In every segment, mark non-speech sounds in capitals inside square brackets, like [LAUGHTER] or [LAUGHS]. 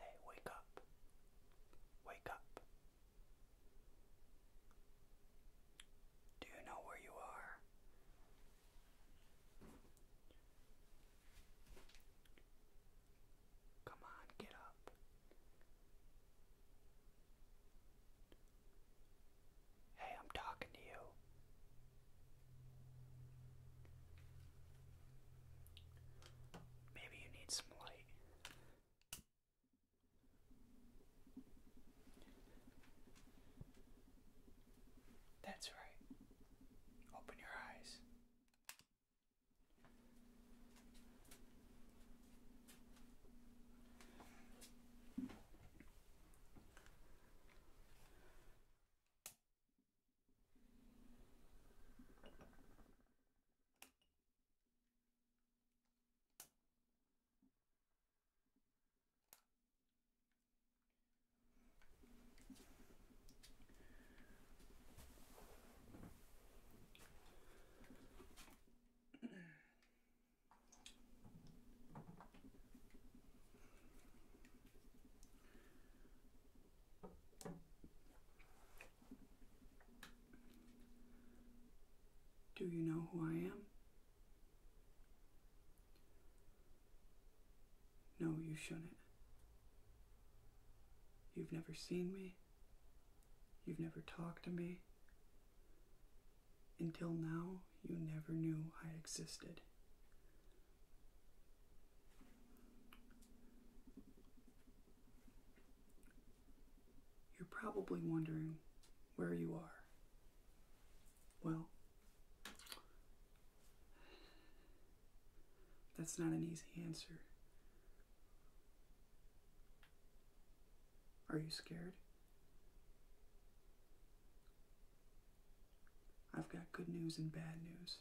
Hey, wake up. Wake up. Do you know where you are? Come on, get up. Hey, I'm talking to you. Maybe you need some light. That's right. Open your eyes. Do you know who I am? No, you shouldn't. You've never seen me. You've never talked to me. Until now, you never knew I existed. You're probably wondering where you are well, that's not an easy answer. Are you scared? I've got good news and bad news.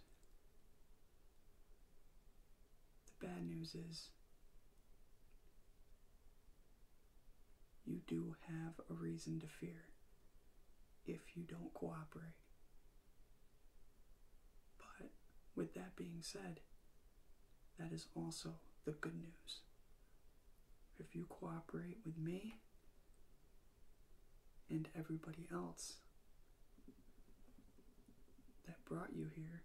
The bad news is you do have a reason to fear if you don't cooperate. But with that being said, that is also the good news. If you cooperate with me and everybody else that brought you here,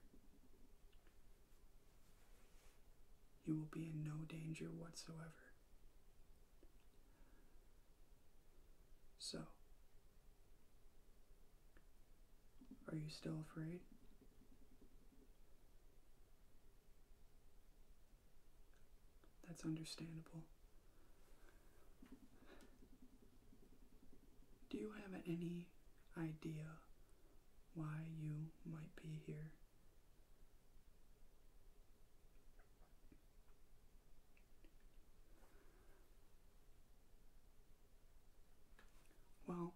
you will be in no danger whatsoever. So, are you still afraid? That's understandable. Do you have any idea why you might be here. Well,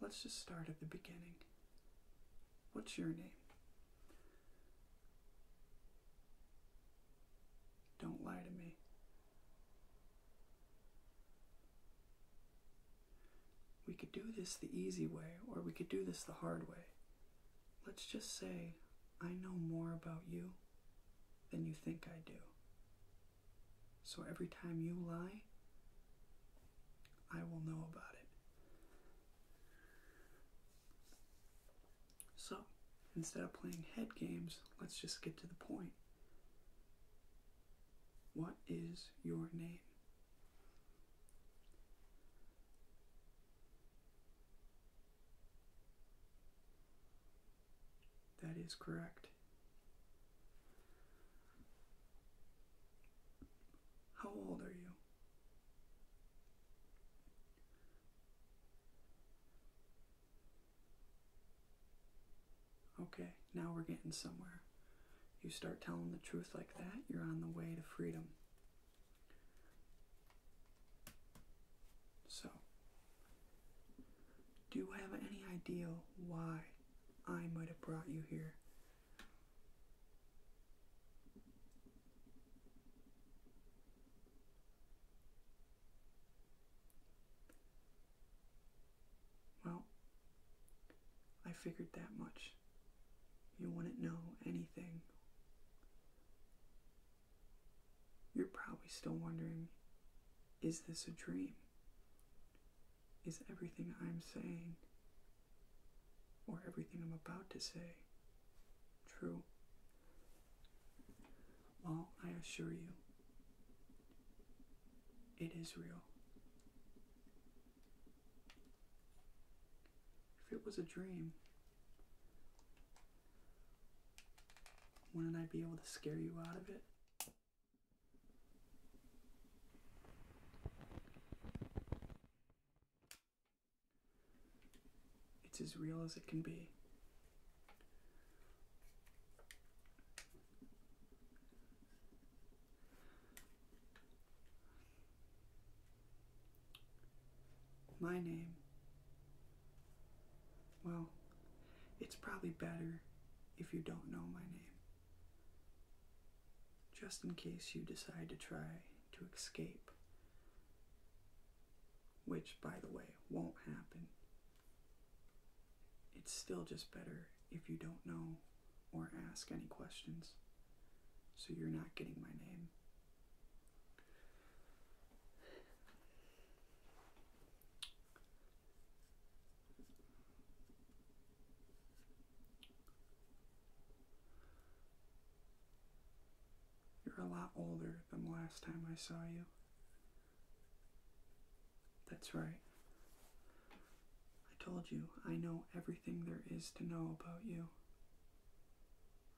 let's just start at the beginning. What's your name? Don't lie to me. We could do this the easy way, or we could do this the hard way. Let's just say I know more about you than you think I do. So every time you lie, I will know about it. So, instead of playing head games, let's just get to the point. What is your name? That is correct. How old are you? Okay, now we're getting somewhere. You start telling the truth like that, you're on the way to freedom. So, do you have any idea why I might have brought you here? Well, I figured that much. You wouldn't know anything. You're probably still wondering is this a dream? Is everything I'm saying or everything I'm about to say true? Well, I assure you, it is real. If it was a dream, wouldn't I be able to scare you out of it? It's as real as it can be. My name. Well, it's probably better if you don't know my name. Just in case you decide to try to escape. Which, by the way, won't happen. It's still just better if you don't know or ask any questions, so you're not getting my name. You're a lot older than the last time I saw you. That's right. I told you I know everything there is to know about you.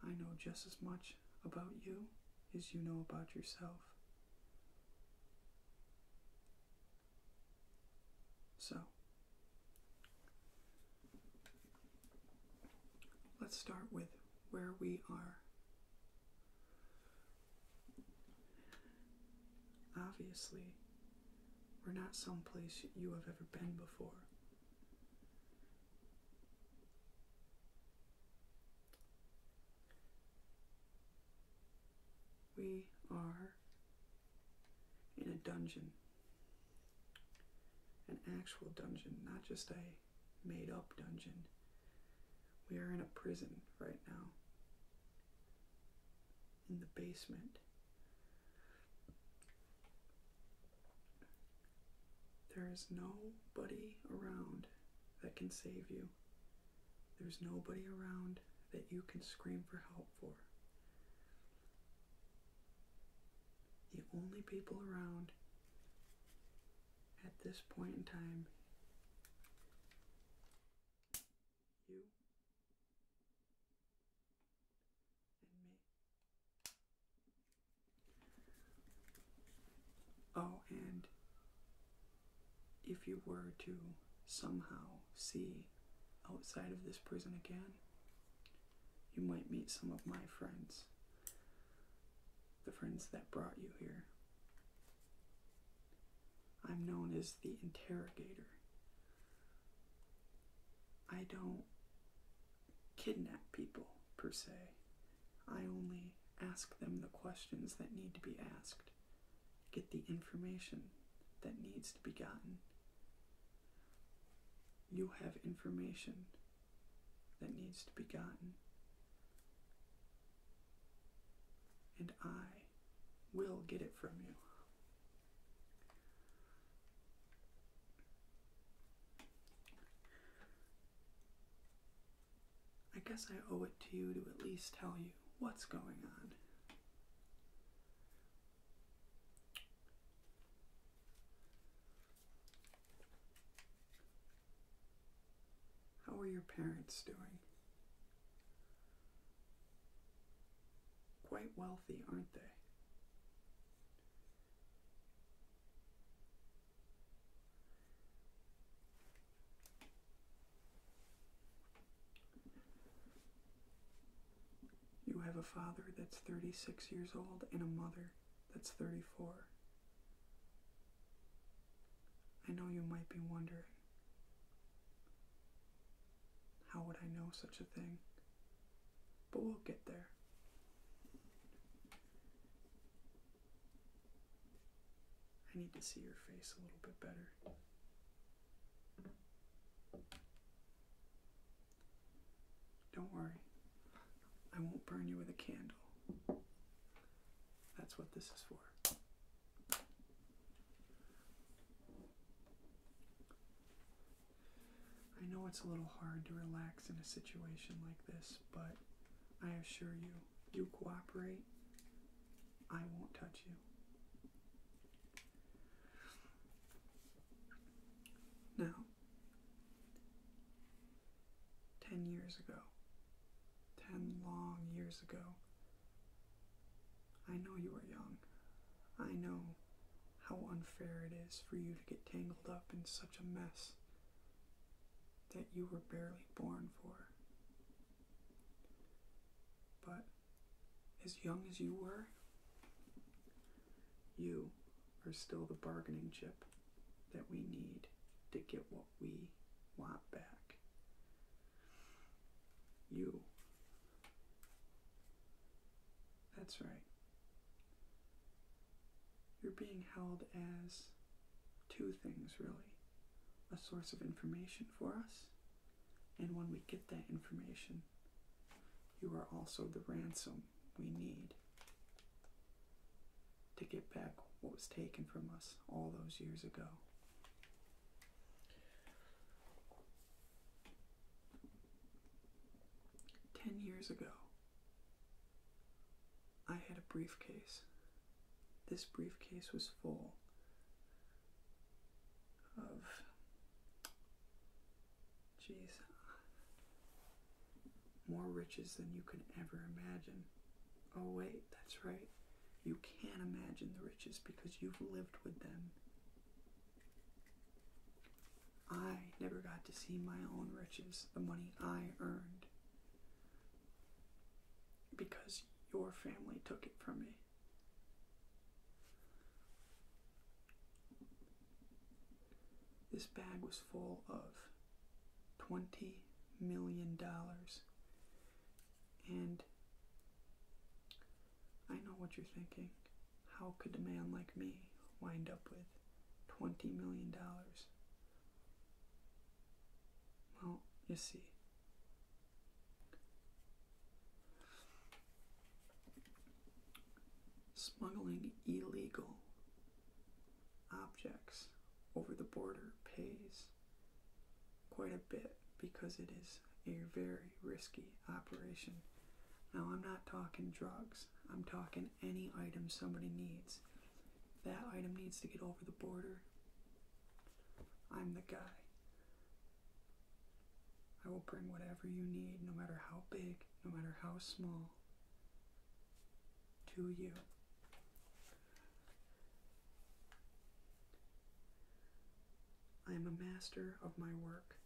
I know just as much about you as you know about yourself. So, let's start with where we are. Obviously, we're not someplace you have ever been before. We are in a dungeon. An actual dungeon, not just a made up dungeon. We are in a prison right now in the basement. There is nobody around that can save you. There's nobody around that you can scream for help for. The only people around at this point in time you and me. Oh, and if you were to somehow see outside of this prison again, you might meet some of my friends, the friends that brought you here. I'm known as the interrogator. I don't kidnap people, per se. I only ask them the questions that need to be asked, get the information that needs to be gotten. You have information that needs to be gotten, and I we will get it from you. I guess I owe it to you to at least tell you what's going on. How are your parents doing? Quite wealthy, aren't they? You have a father that's 36 years old and a mother that's 34. I know you might be wondering how would I know such a thing? But we'll get there. I need to see your face a little bit better. Don't worry, I won't burn you with a candle. That's what this is for. I know it's a little hard to relax in a situation like this, but I assure you, you cooperate, I won't touch you. Now, 10 years ago, 10 long years ago, I know you are young. I know how unfair it is for you to get tangled up in such a mess that you were barely born for. But as young as you were, you are still the bargaining chip that we need to get what we want back. You. That's right. You're being held as two things, really a source of information for us, and when we get that information, you are also the ransom we need to get back what was taken from us all those years ago. Ten years ago, I had a briefcase. This briefcase was full of. Jeez. More riches than you can ever imagine. Oh, wait, that's right. You can't imagine the riches because you've lived with them. I never got to see my own riches, the money I earned, because your family took it from me. This bag was full of $20 million and I know what you're thinking. How could a man like me wind up with $20 million? Well, you see. Smuggling illegal objects over the border pays quite a bit because it is a very risky operation. Now, I'm not talking drugs, I'm talking any item somebody needs. That item needs to get over the border. I'm the guy. I will bring whatever you need, no matter how big, no matter how small, to you. I am a master of my work.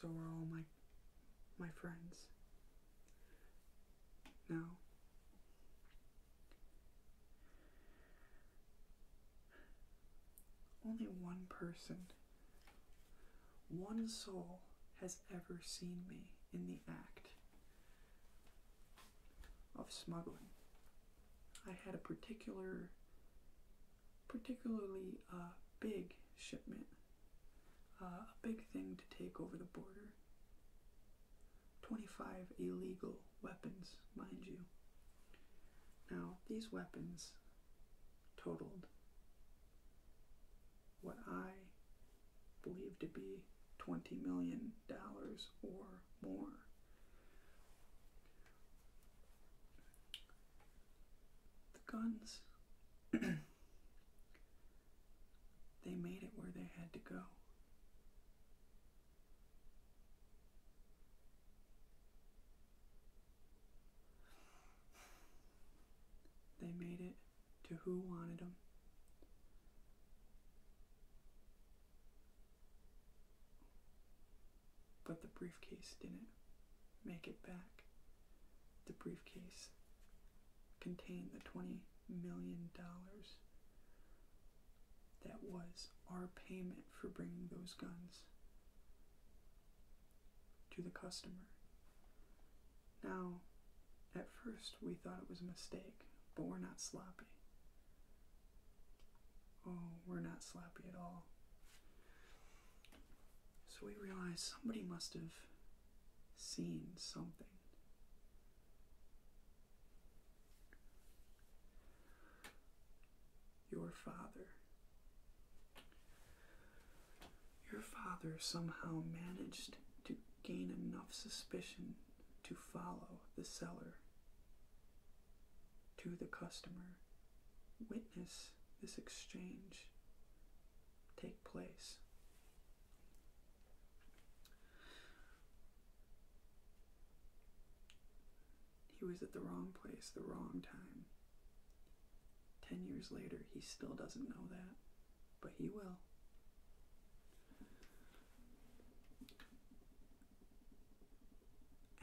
So are all my my friends. Now only one person, one soul has ever seen me in the act of smuggling. I had a particular, particularly uh, big shipment, uh, a big thing to take over the border. 25 illegal weapons, mind you. Now, these weapons totaled what I believed to be $20 million or more. The guns, [CLEARS THROAT] they made it where they had to go. They made it to who wanted them. But the briefcase didn't make it back. The briefcase contained the $20 million that was our payment for bringing those guns to the customer. Now, at first, we thought it was a mistake, but we're not sloppy. Oh, we're not sloppy at all. So we realized somebody must have seen something. Your father. Your father somehow managed to gain enough suspicion to follow the seller to the customer. Witness this exchange take place. He was at the wrong place, the wrong time. Ten years later, he still doesn't know that but he will.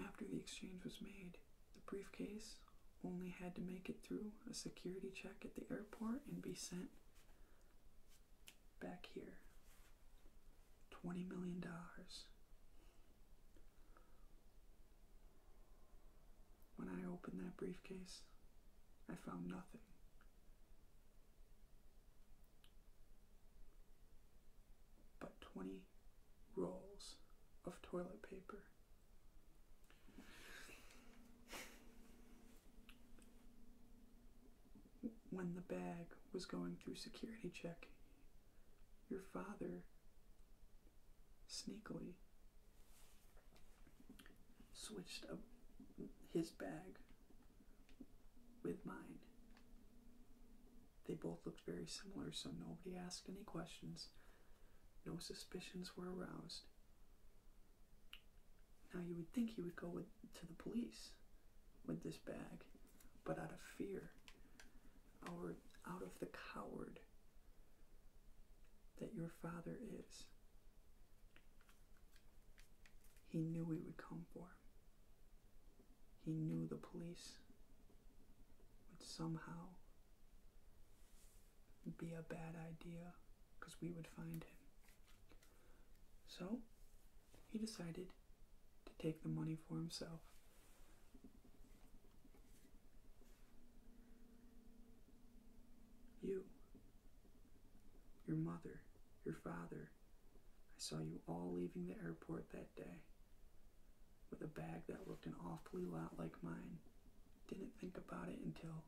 After the exchange was made, the briefcase only had to make it through a security check at the airport and be sent back here. $20 million. When I opened that briefcase, I found nothing but 20 rolls of toilet paper. When the bag was going through security check, your father sneakily switched up his bag with mine. They both looked very similar, so nobody asked any questions. No suspicions were aroused. Now, you would think he would go with, to the police with this bag, but out of fear, our, out of the coward that your father is, he knew we would come for him. He knew the police would somehow be a bad idea because we would find him. So he decided to take the money for himself. You your mother, your father. I saw you all leaving the airport that day with a bag that looked an awfully lot like mine. Didn't think about it until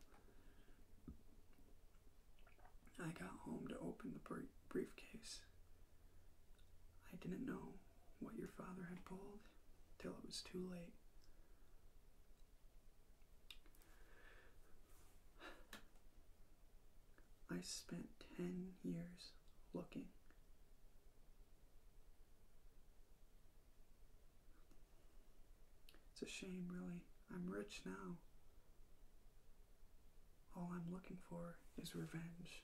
I got home to open the briefcase. I didn't know what your father had pulled till it was too late. I spent 10 years looking. It's a shame, really. I'm rich now. All I'm looking for is revenge.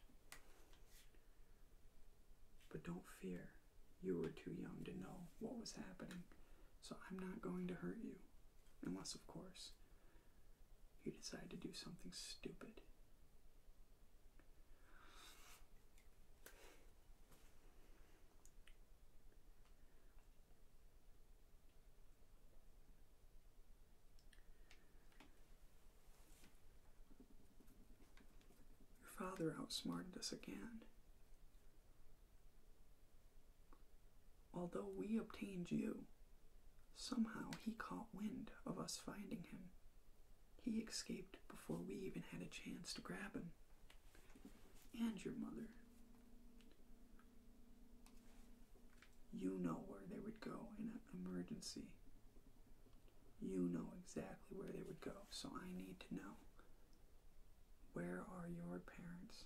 But don't fear, you were too young to know what was happening, so I'm not going to hurt you. Unless, of course, you decide to do something stupid. Your father outsmarted us again. Although we obtained you, somehow he caught wind of us finding him. He escaped before we even had a chance to grab him. And your mother. You know where they would go in an emergency. You know exactly where they would go, so I need to know. Where are your parents?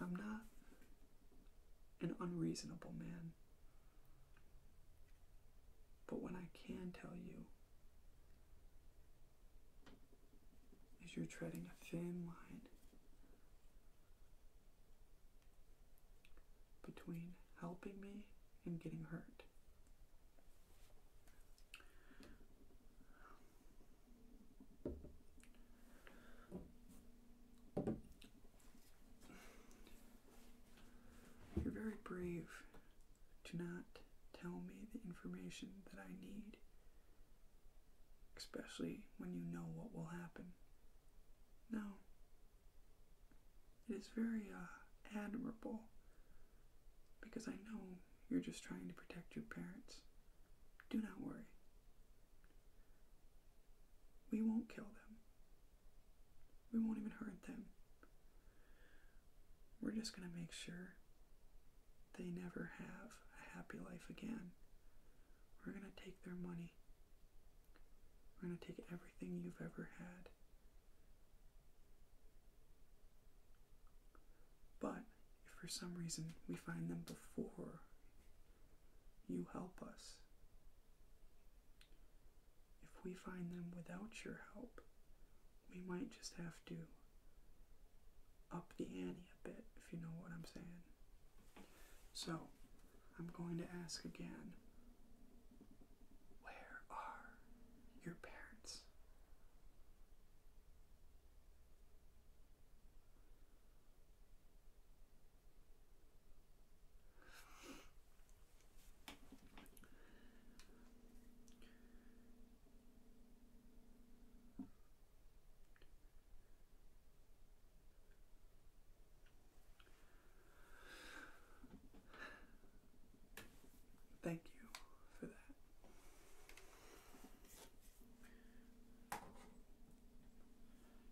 I'm not an unreasonable man. But what I can tell you is you're treading a thin line between helping me and getting hurt. You're very brave to not tell me the information that I need, especially when you know what will happen. No. It is very uh, admirable because I know you're just trying to protect your parents. Do not worry. We won't kill them. We won't even hurt them. We're just going to make sure they never have a happy life again. We're going to take their money. We're going to take everything you've ever had. But if for some reason we find them before you help us, if we find them without your help, we might just have to up the ante a bit, if you know what I'm saying. So, I'm going to ask again where are your parents? Thank you for that.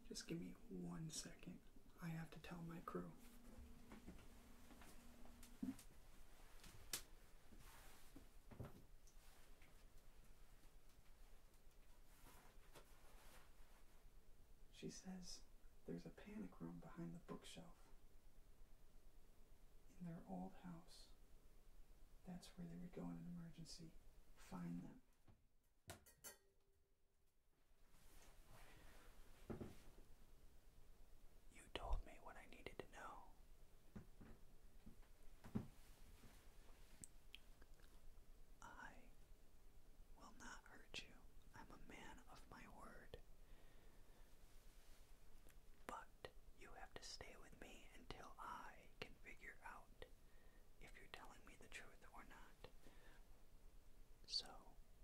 Just give me one second. I have to tell my crew. She says there's a panic room behind the bookshelf in their old house. That's where they would go in an emergency, find them. You told me what I needed to know. I will not hurt you. I'm a man of my word. But you have to stay with me until I can figure out if you're telling me the truth or not. So,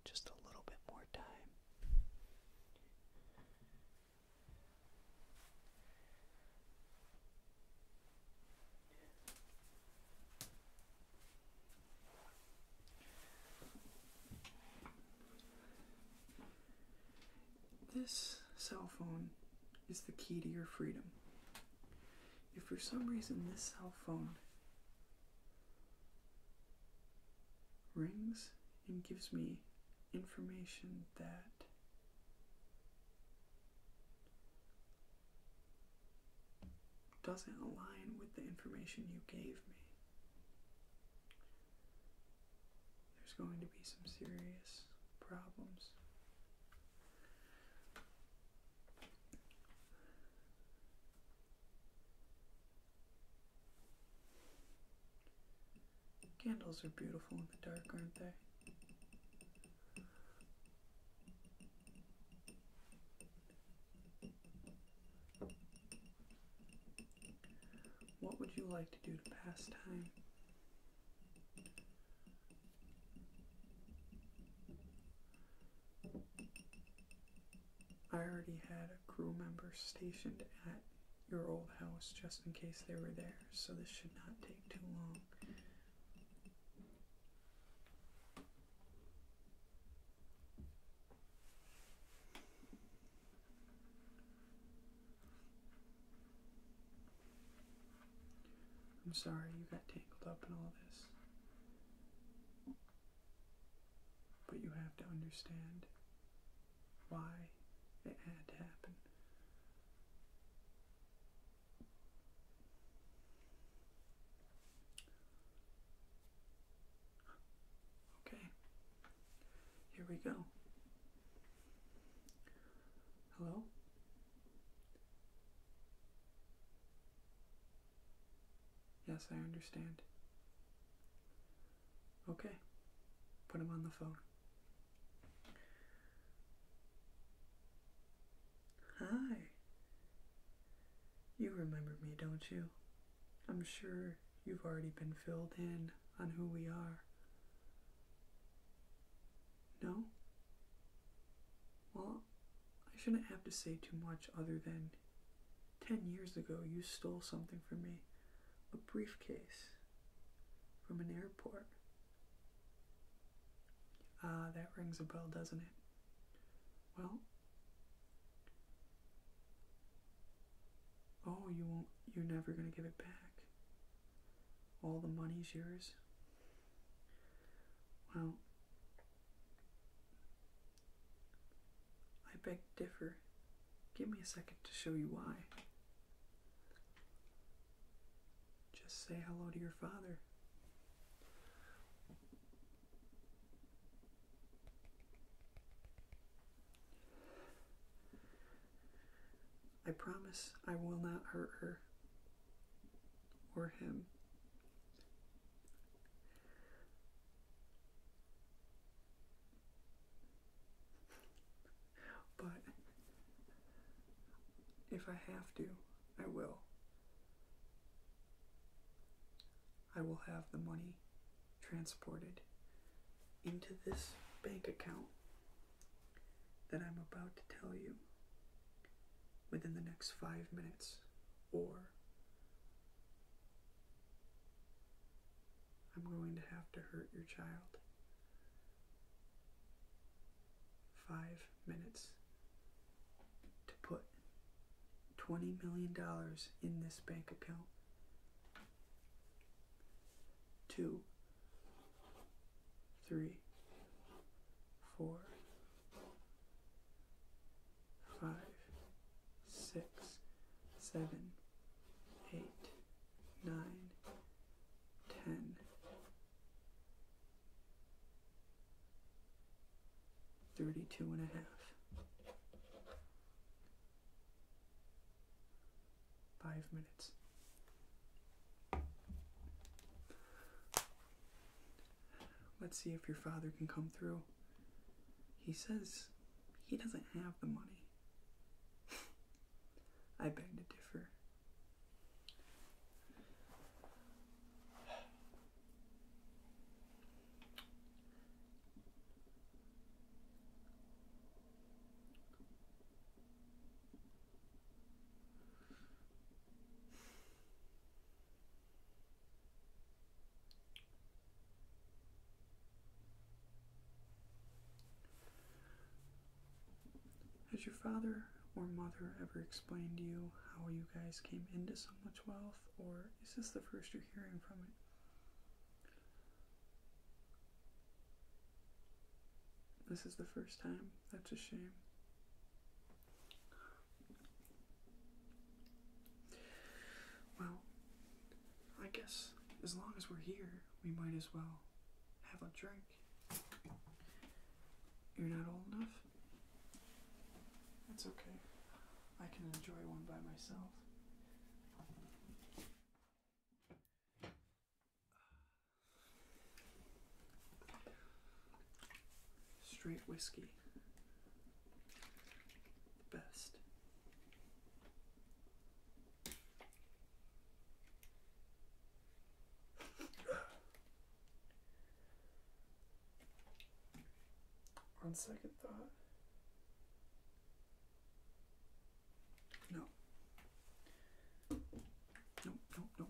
just a little bit more time. This cell phone is the key to your freedom. If for some reason this cell phone rings and gives me information that doesn't align with the information you gave me, there's going to be some serious problems. Candles are beautiful in the dark, aren't they? What would you like to do to pass time? I already had a crew member stationed at your old house just in case they were there, so this should not take too long. I'm sorry you got tangled up in all this. But you have to understand why it had to happen. Okay, here we go. Hello? Yes, I understand. Okay, put him on the phone. Hi. You remember me, don't you? I'm sure you've already been filled in on who we are. No? Well, I shouldn't have to say too much other than ten years ago you stole something from me a briefcase from an airport. Ah, that rings a bell, doesn't it? Well, oh, you won't, you're never going to give it back. All the money's yours? Well, I beg differ. Give me a second to show you why. Just say hello to your father. I promise I will not hurt her or him. But if I have to, I will. I will have the money transported into this bank account that I'm about to tell you within the next five minutes, or I'm going to have to hurt your child. Five minutes to put $20 million in this bank account. Two, three, four, five, six, seven, eight, nine, ten, thirty-two and a half five minutes. Let's see if your father can come through. He says he doesn't have the money. [LAUGHS] I beg to differ. Has your father or mother ever explained to you how you guys came into so much wealth, or is this the first you're hearing from it? This is the first time. That's a shame. Well, I guess as long as we're here, we might as well have a drink. You're not old enough? That's okay. I can enjoy one by myself. Straight whiskey. Best. [LAUGHS] On second thought, no. No, no, no.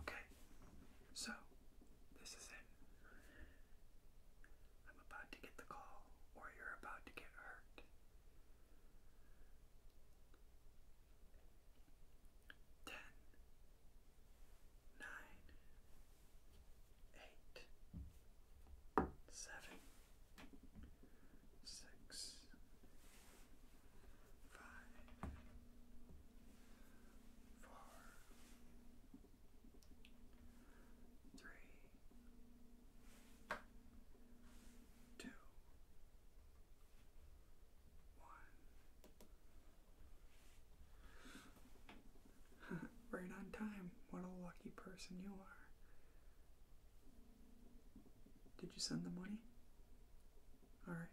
Okay. So, this is it. I'm about to get the call, or you're about to get hurt. Ten, nine, eight, seven six, five, four, three, two, one. [LAUGHS] right on time. What a lucky person you are. Did you send the money? All right.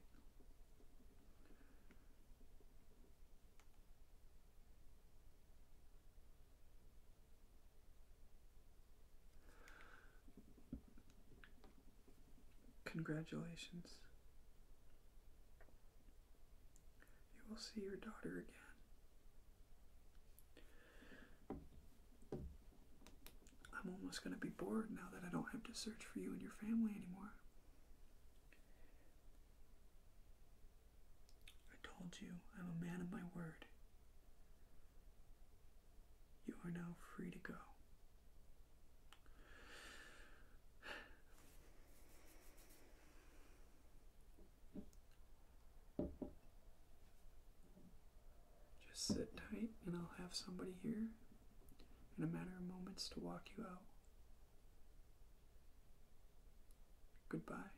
Congratulations. You will see your daughter again. I'm almost going to be bored now that I don't have to search for you and your family anymore. I told you I'm a man of my word. You are now free to go. Just sit tight, and I'll have somebody here in a matter of moments to walk you out. Goodbye.